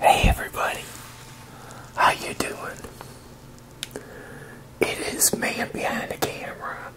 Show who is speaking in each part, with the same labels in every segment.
Speaker 1: Hey everybody, how you doing? It is man behind the camera,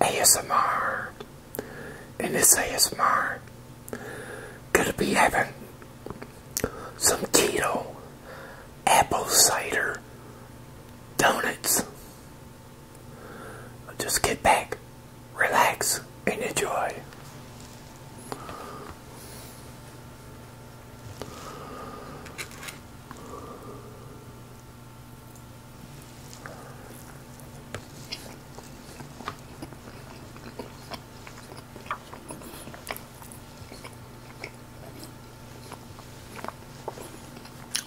Speaker 1: ASMR, and this ASMR gonna be having some keto apple cider donuts. Just get back, relax, and enjoy.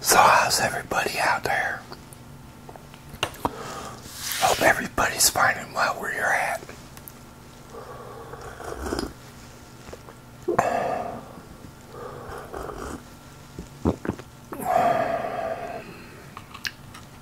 Speaker 1: So, how's everybody out there? Hope everybody's finding well where you're at.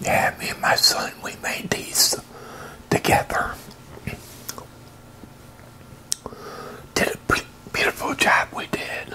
Speaker 1: Yeah, me and my son, we made these together. Did a beautiful job we did.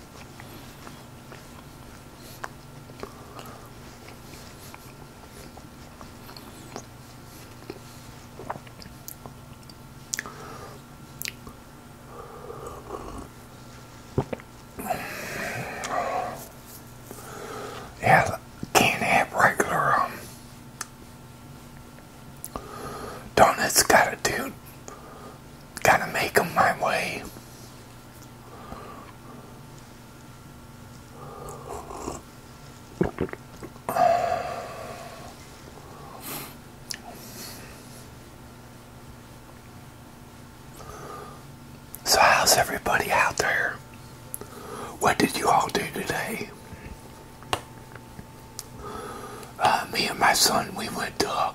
Speaker 1: Yeah, can't have regular um, donuts. got it, dude. Gotta make make them my way. So how's everybody out there? What did you all do today? Uh, me and my son, we went to a,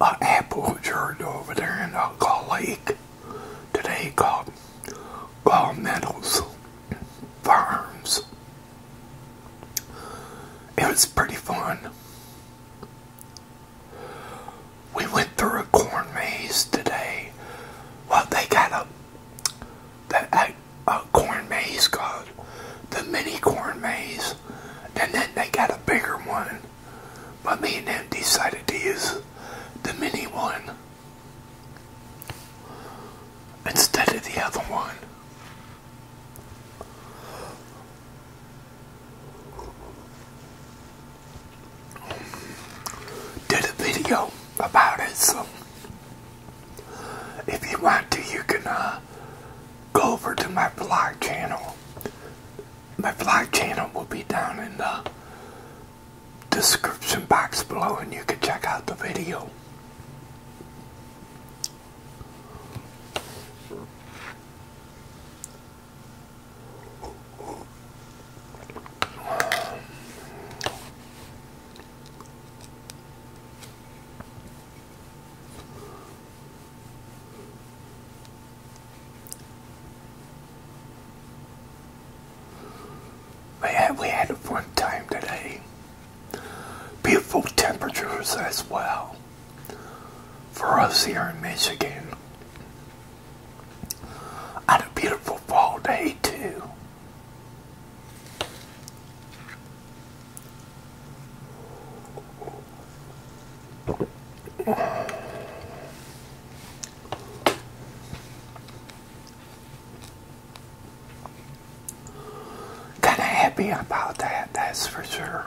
Speaker 1: uh, apple orchard over there in uh, Gull Lake today called Gull Meadows Farms. It was pretty fun. We went through a corn maze today. What they got a, the a corn maze called the mini corn maze, and then they got a bigger one. But me and them decided to use the mini one instead of the other one. Did a video about it, so if you want to, you can uh, go over to my vlog channel. My vlog channel will be down in the description box below and you can check out the video. Man, we had a fun time today. Beautiful temperatures as well for us here in Michigan. I had a beautiful fall day too. Kind of happy about that, that's for sure.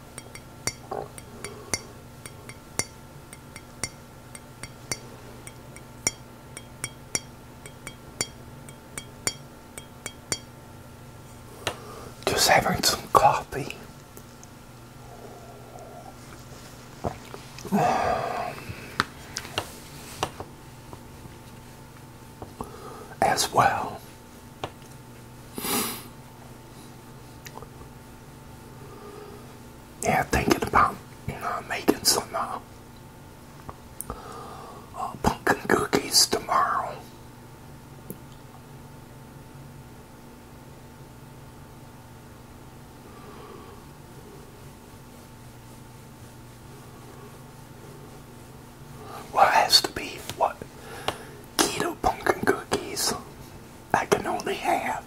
Speaker 1: Just having some coffee. as well. Yeah, thinking about you know making some uh, uh pumpkin cookies tomorrow. Well, has to be what? Keto pumpkin cookies. I can only have.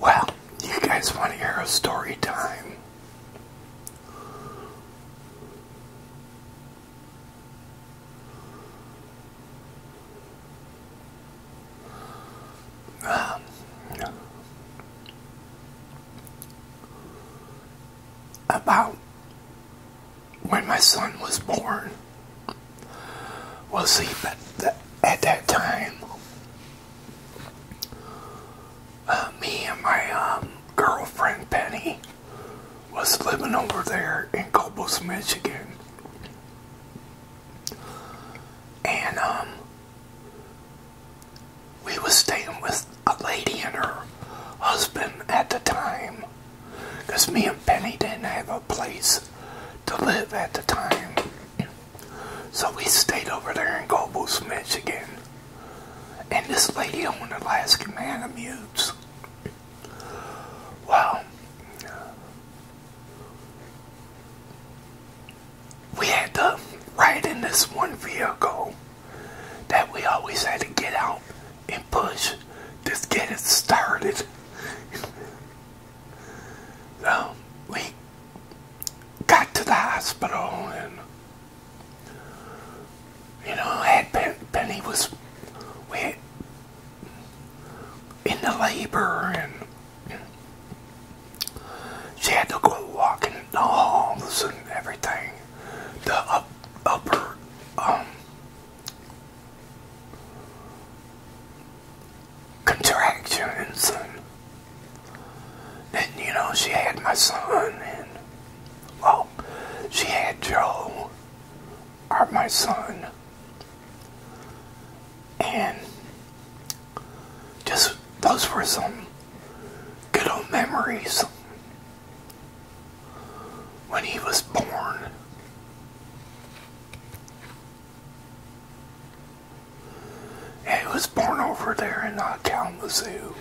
Speaker 1: Well, you guys want to hear a story time? Um, about when my son was born. Well, see, at that time, uh, me and my um, girlfriend Penny was living over there in Cobos, Michigan. And um, we was staying with a lady and her husband at the time. Because me and Penny didn't have a place to live at the time. So we stayed over there in Goebbels, Michigan. And this lady owned Alaska Malamutes. Well, we had to ride in this one vehicle that we always had to get out and push. Just get it started. so um, we got to the hospital and you know, had Penny, Penny was we in the labor and, she had to go walking in the halls and everything. The up, upper um, contractions and then you know she had my son and oh, she had Joe our my son and just those were some good old memories when he was born. he was born over there in uh, Kalamazoo.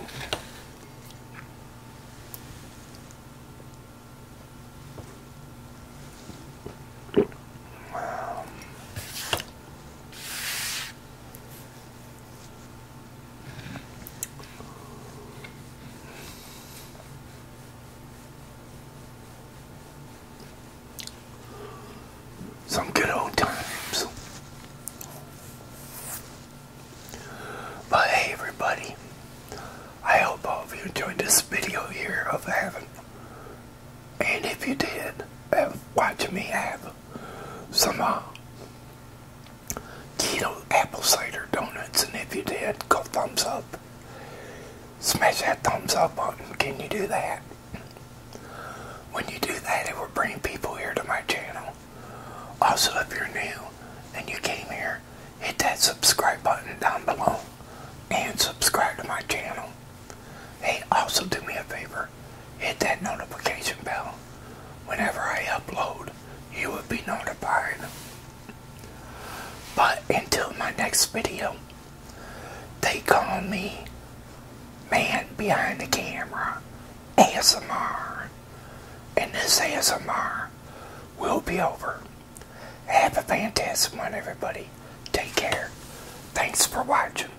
Speaker 1: Some good old times. But everybody, I hope all of you enjoyed this video here of having, and if you did, watch me have some more. Uh, keto apple cider donuts, and if you did, go thumbs up. Smash that thumbs up button. Can you do that? When you do that, it will bring people here to my channel. Also, if you're new and you came here, hit that subscribe button down below and subscribe to my channel. Hey, also do me a favor hit that notification bell. Whenever I upload, you will be notified. But until my next video, they call me Man Behind the Camera ASMR. And this ASMR will be over. Have a fantastic one, everybody. Take care. Thanks for watching.